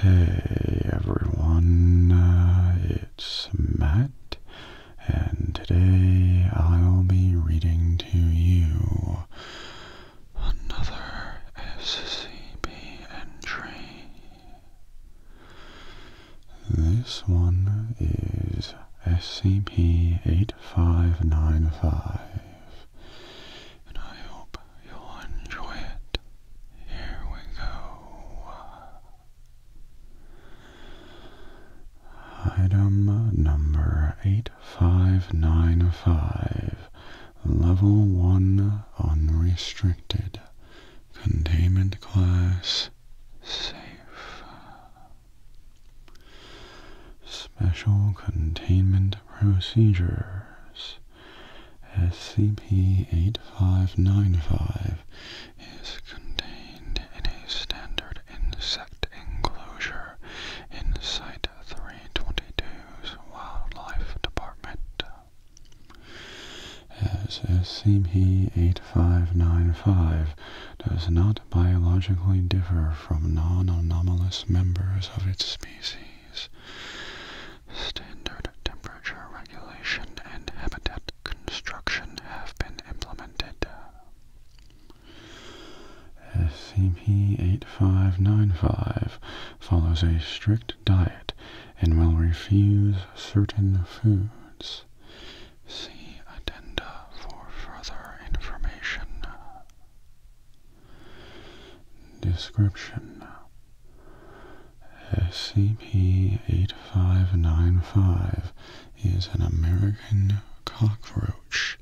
Hey everyone, uh, it's Matt, and today I'll be reading to you another SCP entry. This one is SCP 8595 and I hope you'll enjoy it. Here we go. Item number 8595, Level 1 Unrestricted, Containment Class Safe. Special Containment Procedures SCP-8595 uh, is contained in a standard insect enclosure in Site 322's Wildlife Department. As SCP-8595 uh, does not biologically differ from non-anomalous members of its species, standard temperature regulation and habitat construction have been implemented. SCP-8595 follows a strict diet and will refuse certain foods. See addenda for further information. Description SCP-8595 is an American cockroach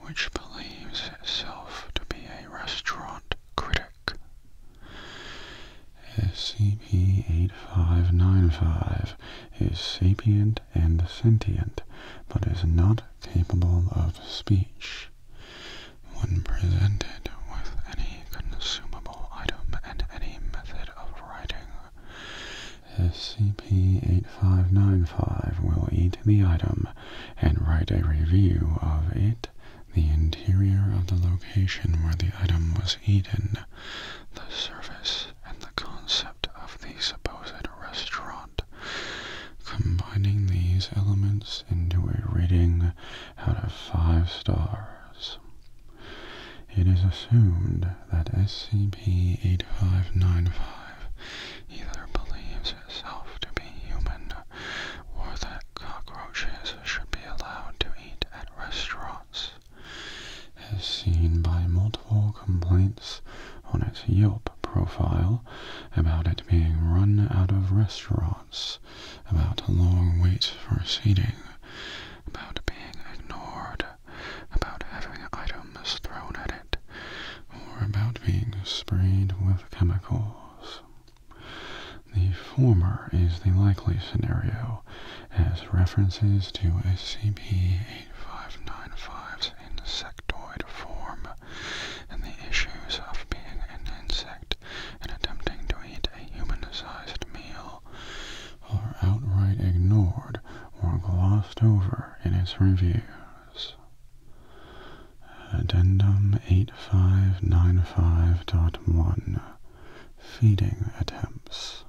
which believes itself to be a restaurant critic. SCP-8595 is sapient and sentient, but is not capable of speech. When presented with any consumable item and any method of writing, SCP-8595 will eat the item and write a review of it, the interior of the location where the item was eaten, the service, and the concept of the supposed restaurant. Combining these elements into a rating out of five stars. It is assumed that SCP-8595 either believes itself to be human or that cockroaches should be allowed to eat at restaurants, as seen by multiple complaints on its Yelp profile about it being run out of restaurants about a long wait for seating, about being ignored, about having items thrown at it, or about being sprayed with chemicals. The former is the likely scenario, as references to SCP-8595's insectoid form and the issues of being an insect and attempting to eat a human-sized meal are outright ignored or glossed over in its reviews. Addendum 8595.1 Feeding Attempts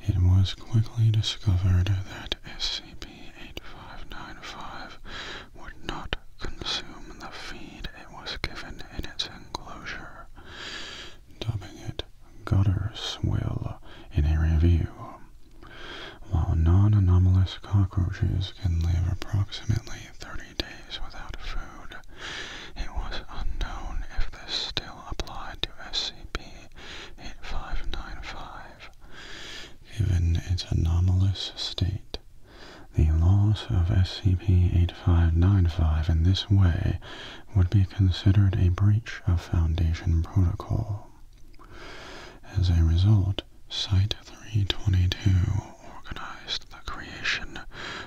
It was quickly discovered that SCP-8595 would not consume the feed it was given in its enclosure, dubbing it gutter swill in a review. While non-anomalous cockroaches can live approximately 30 days without food, it was unknown if this still applied to SCP-8595. Given its anomalous state, the loss of SCP-8595 in this way would be considered a breach of Foundation protocol. As a result, Site-322 organized the creation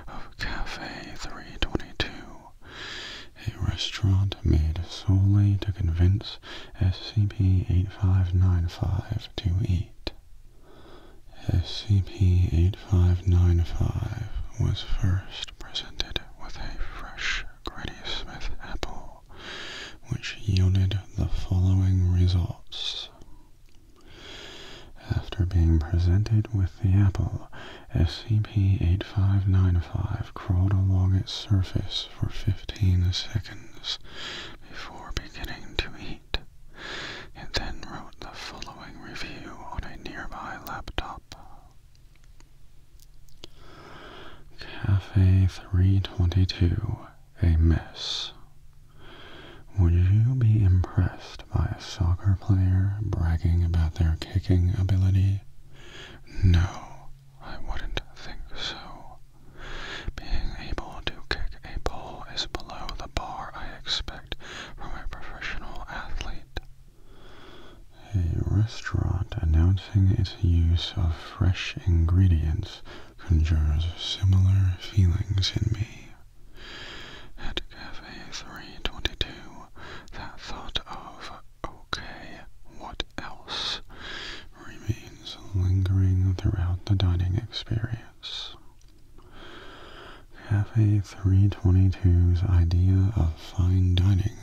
of Café 322, a restaurant made solely to convince SCP-8595 to eat. SCP-8595 was first presented with a fresh Granny Smith apple, which yielded the following results. After being presented with the apple, SCP-8595 crawled along its surface for 15 seconds before beginning to eat. And then wrote the following review on a nearby laptop. Cafe 322, a mess. Would you be impressed by a soccer player bragging about their kicking ability? No, I wouldn't think so. Being able to kick a ball is below the bar I expect from a professional athlete. A restaurant announcing its use of fresh ingredients conjures similar feelings in me. At Cafe 322, that thought of, okay, what else, remains lingering throughout the dining experience. Cafe 322's idea of fine dining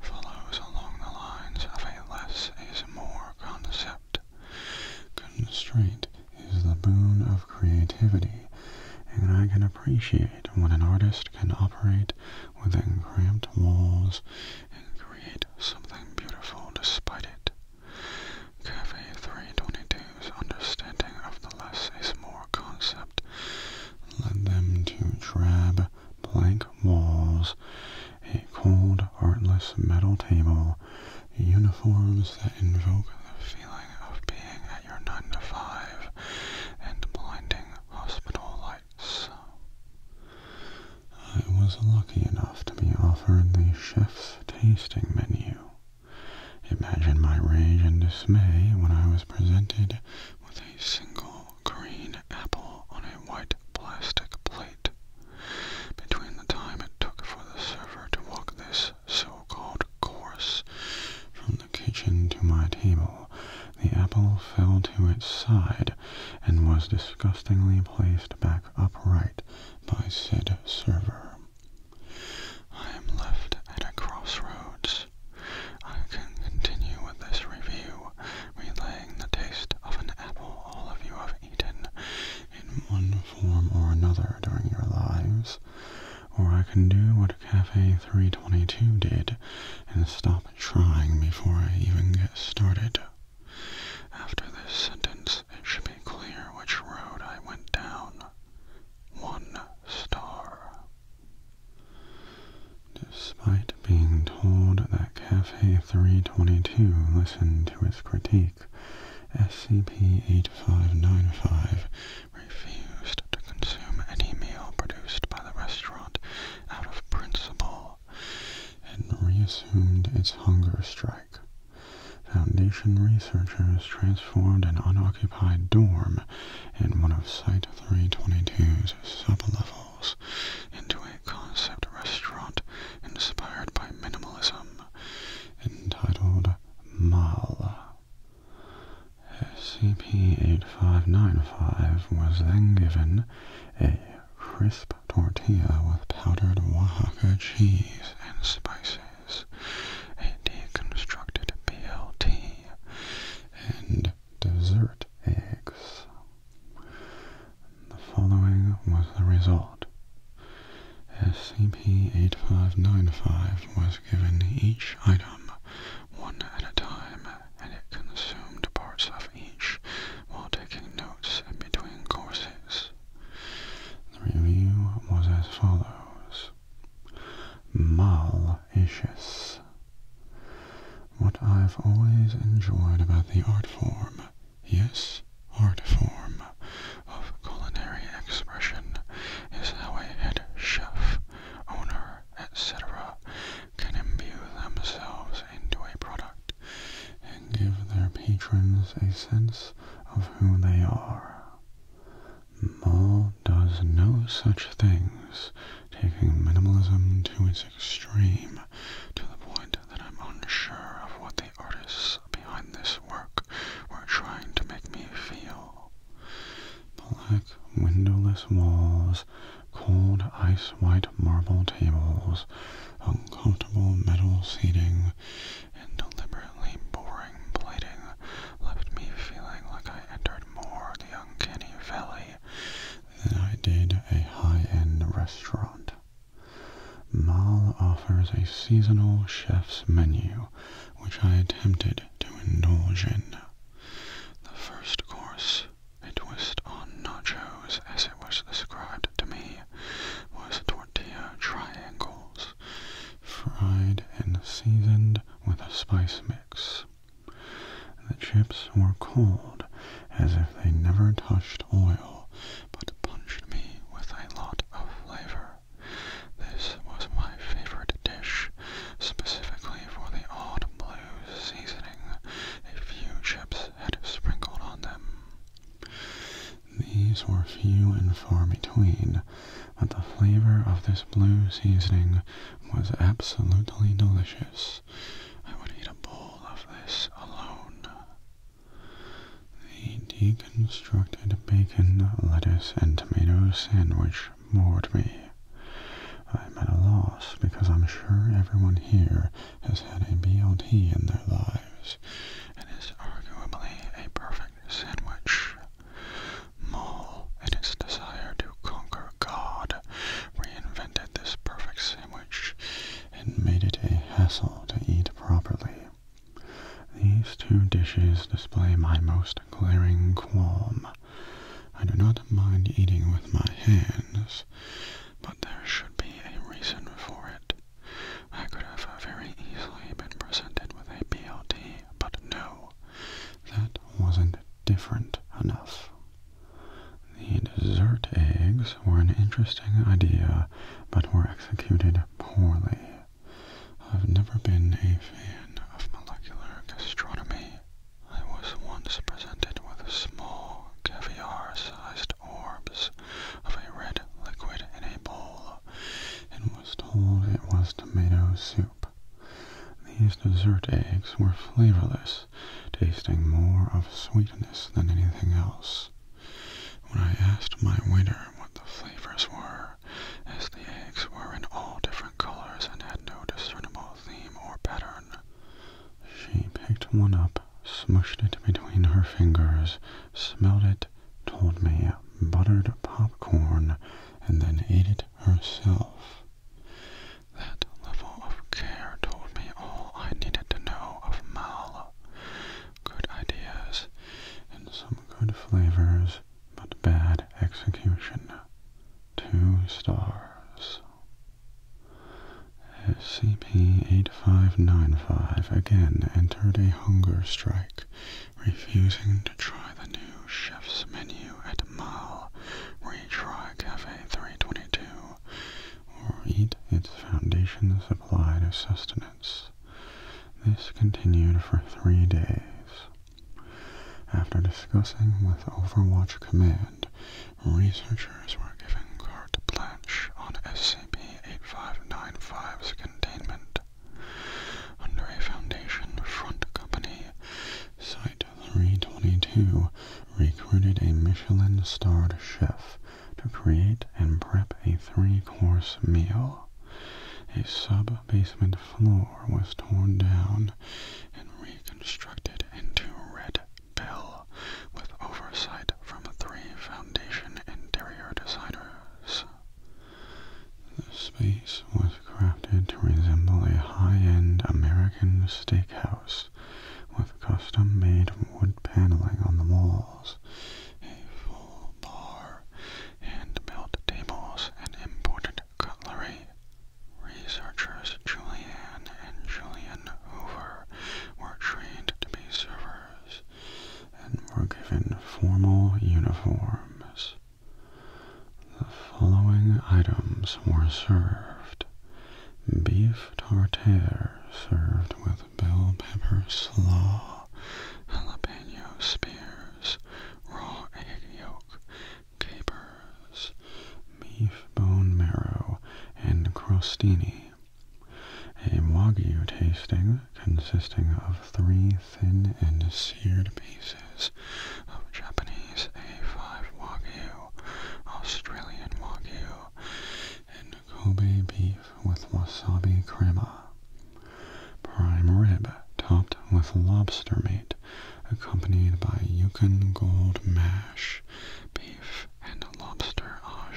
follows along the lines of a less is more concept. Constraint is the boon of creativity, and I can appreciate when an artist can operate within cramped walls and create something beautiful despite it. Cafe 322's understanding of the less is more concept led them to drab blank walls, a cold, artless metal table, uniforms that invoke the feeling of being at your 9 to 5, and blinding hospital lights. I was lucky enough to be offered the chef's tasting menu Imagine my rage and dismay when I was presented with a single green apple on a white plastic plate. Between the time it took for the server to walk this so-called course from the kitchen to my table, the apple fell to its side and was disgustingly placed back upright by said server. I am left at a crossroads. I can continue with this review, relaying the taste of an apple all of you have eaten in one form or another during your lives, or I can do what Cafe 322 did and stop trying before I even get started. After this sentence, it should be clear which road I went down. One star. Despite being told that Cafe 322 listened to its critique, SCP-8595 refused to consume any meal produced by the restaurant out of principle and reassumed its hunger strike. Foundation researchers transformed an unoccupied dorm in one of Site 322's sublevels into a concept restaurant inspired by minimalism entitled Mal. SCP-8595 was then given a crisp tortilla with powdered Oaxaca cheese and spices is a deconstructed BLT and dessert eggs. The following was the result. SCP-8595 was given each item one at a time, and it consumed parts of each while taking notes in between courses. The review was as follows. Malicious. What I've always enjoyed about the art form, yes, art form, of culinary expression is how a head chef, owner, etc., can imbue themselves into a product and give their patrons a sense of who they are. Mall does no such things, taking minimalism to its extreme to the point that I'm unsure of what the artists behind this work were trying to make me feel. Black windowless walls, cold ice-white marble tables, uncomfortable metal seating, and deliberately boring plating left me feeling like I entered more the uncanny valley than I did a high-end restaurant. Mal offers a seasonal chef's menu, which I attempted to indulge in. The first course, a twist on nachos as it was described to me, was tortilla triangle fried and seasoned with a spice mix. The chips were cold, as if they never touched oil, but punched me with a lot of flavor. This was my favorite dish, specifically for the odd blue seasoning a few chips had sprinkled on them. These were few and far between, but the flavor of this blue seasoning was absolutely delicious. I would eat a bowl of this alone. The deconstructed bacon, lettuce, and tomato sandwich bored me. I'm at a loss because I'm sure everyone here has had a BLT in their life times and is arguably a perfect sandwich. Moll, in its desire to conquer God, reinvented this perfect sandwich and made it a hassle to eat properly. These two dishes display my most glaring qualm. I do not mind eating with my hands, but there should be a reason for it. I could have very easily been presented with a BLT, but no, that wasn't different enough. The dessert eggs were an interesting idea, but were executed poorly. I've never been a fan of molecular gastronomy. I was once presented with small caviar-sized orbs of a red liquid in a bowl, and was told it was tomato soup. These dessert eggs were flavorless, tasting more of sweetness than anything else. When I asked my waiter what the flavors were, as the eggs were in all different colors and had no discernible theme or pattern, she picked one up, smushed it between her fingers, smelled it, told me buttered popcorn, and then ate it herself. That level of care told me all I needed to know of Mal. Good ideas and some good flavors, but bad execution. Two stars. SCP-8595 again entered a hunger strike refusing to try the new chef's menu at Mal Retry Cafe 322, or eat its foundation supply of sustenance. This continued for three days. After discussing with Overwatch Command, researchers were given carte blanche on SCP-8595's containment under Foundation front company. Site 322 recruited a Michelin-starred chef to create and prep a three-course meal. A sub-basement floor was torn down and reconstructed into Red Bell with oversight from three Foundation interior designers. The space was crafted to resemble a high-end American steakhouse with custom-made wood paneling on the walls, a full bar, hand-built tables, and imported cutlery. Researchers Julianne and Julian Hoover were trained to be servers and were given formal uniforms. The following items were served. Beef tartare served with bell pepper slaw, jalapeno spears, raw egg yolk, capers, beef bone marrow, and crostini. A Wagyu tasting consisting of three thin and seared pieces of Japanese A5 Wagyu, Australian Wagyu, and Kobe beef with wasabi crema. Prime rib topped with lobster meat, accompanied by Yukon Gold mash, beef and lobster au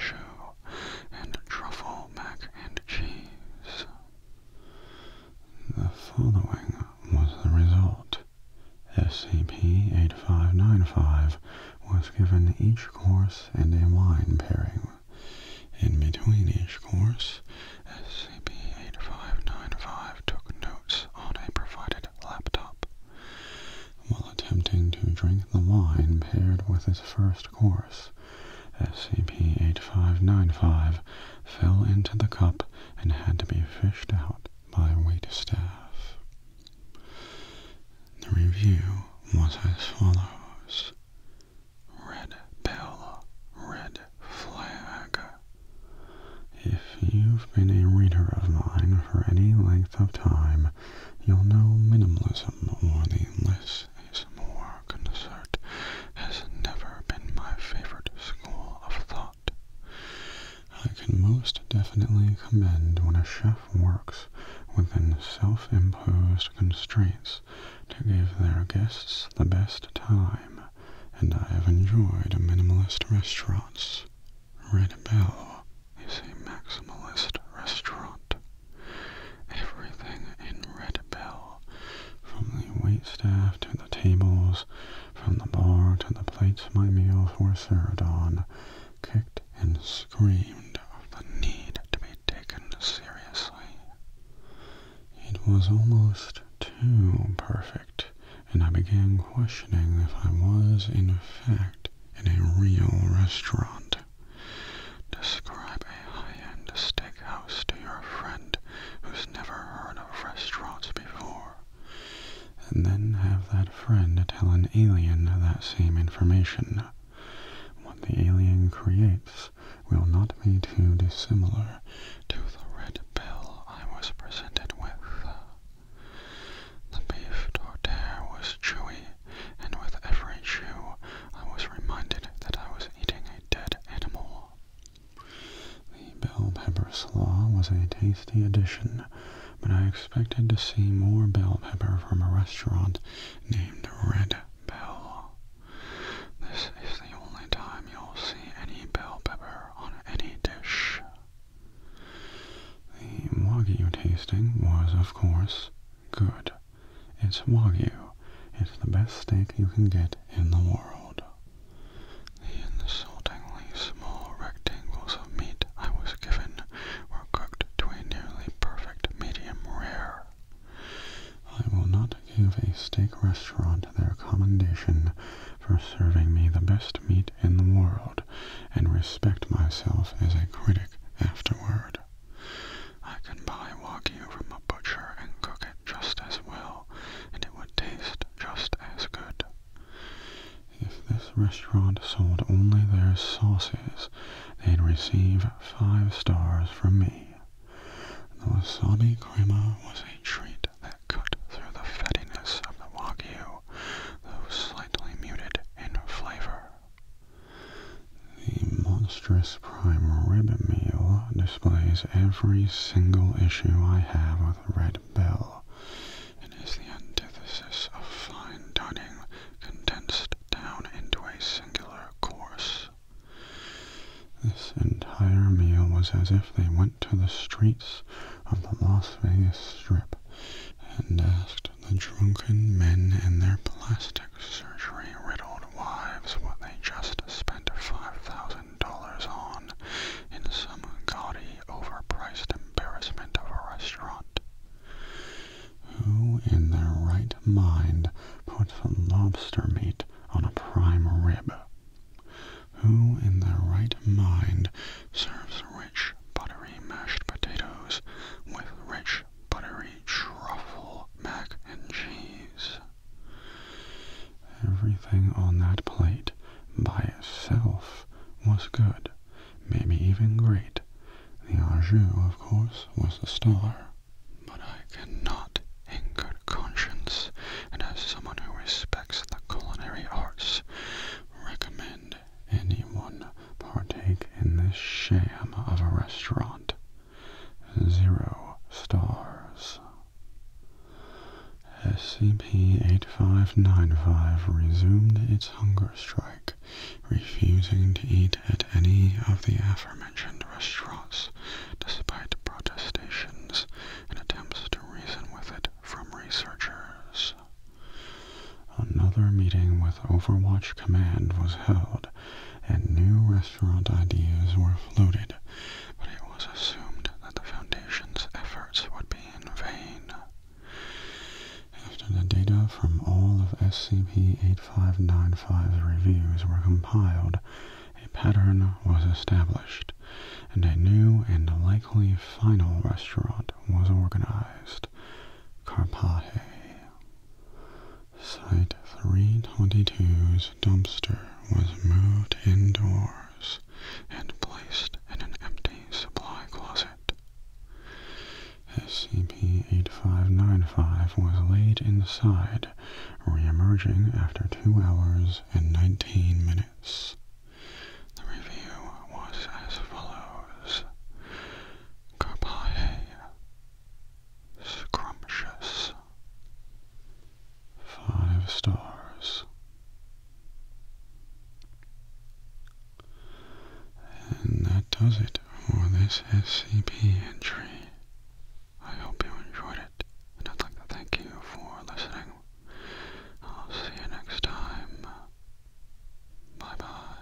and truffle mac and cheese. The following was the result. SCP-8595 was given each course and a wine pairing. In between each course, SCP-8595 took notes on a provided laptop. While attempting to drink the wine paired with his first course, SCP-8595 fell into the cup and had to be fished out by waitstaff. The review was as follows. Red bell, red flag. If you've been a reader of mine for any length of time, you'll know minimalism or the less ASMR concert has never been my favorite school of thought. I can most definitely commend when a chef works within self-imposed constraints to give their guests the best time, and I have enjoyed minimalist restaurants. Red Bell is a maximalist restaurant everything in Red Bell, from the waitstaff to the tables, from the bar to the plates my meals were served on, kicked and screamed of the need to be taken seriously. It was almost too perfect, and I began questioning if I was in effect in a real restaurant. Describe a high-end steakhouse to your friend who's never heard of restaurants before, and then have that friend tell an alien that same information. What the alien creates will not be too dissimilar to the red pill I was presented with. The beef tortilla was chewy, and with every chew I was reminded that I was eating a dead animal. The bell pepper slaw was a tasty addition, but I expected to see more bell pepper from a restaurant named Red Bell. This is the only time you'll see any bell pepper on any dish. The Wagyu tasting was, of course, Good. It's Wagyu. It's the best steak you can get in the world. The insultingly small rectangles of meat I was given were cooked to a nearly perfect medium rare. I will not give a steak restaurant their commendation for serving me the best meat in the world, and respect myself as a critic afterward. I can buy wagyu from a butcher and cook it just as well, and it would taste just as good. If this restaurant sold only their sauces, they'd receive five stars from me. The wasabi crema was a treat that cut through the fattiness of the wagyu, though slightly muted in flavor. The monstrous prime rib meal displays every single issue I have with Red Bell, and is the antithesis of fine dining condensed down into a singular course. This entire meal was as if they went to the streets of the Las Vegas Strip and asked the drunken men in their plastic surgery-riddled wives what they just spent $5,000 on in some gaudy, overpriced embarrassment of a restaurant. Who in their right mind puts lobster meat on a prime rib? Who in their right mind serves rich, buttery mashed potatoes with rich, buttery truffle mac and cheese? Everything on that plate by itself was good, maybe even great. The au of course, was a star. But I cannot, in good conscience, and as someone who respects the culinary arts, recommend anyone partake in this sham of a restaurant zero stars. SCP-8595 resumed its hunger strike, refusing to eat at any of the aforementioned restaurants despite protestations and attempts to reason with it from researchers. Another meeting with Overwatch Command was held and new restaurant ideas were floated, but it was assumed that the Foundation's efforts would be in vain. After the data from all of SCP-8595's reviews were compiled, a pattern was established, and a new and likely final restaurant was organized, Carpahe. Site 322's dumpster was moved indoors and placed in an empty supply closet. SCP-8595 was laid inside, re-emerging after 2 hours and 19 minutes. The review was as follows. Carpae. Scrumptious. Five stars. And that does it for this SCP entry. I hope you enjoyed it, and I'd like to thank you for listening. I'll see you next time. Bye bye.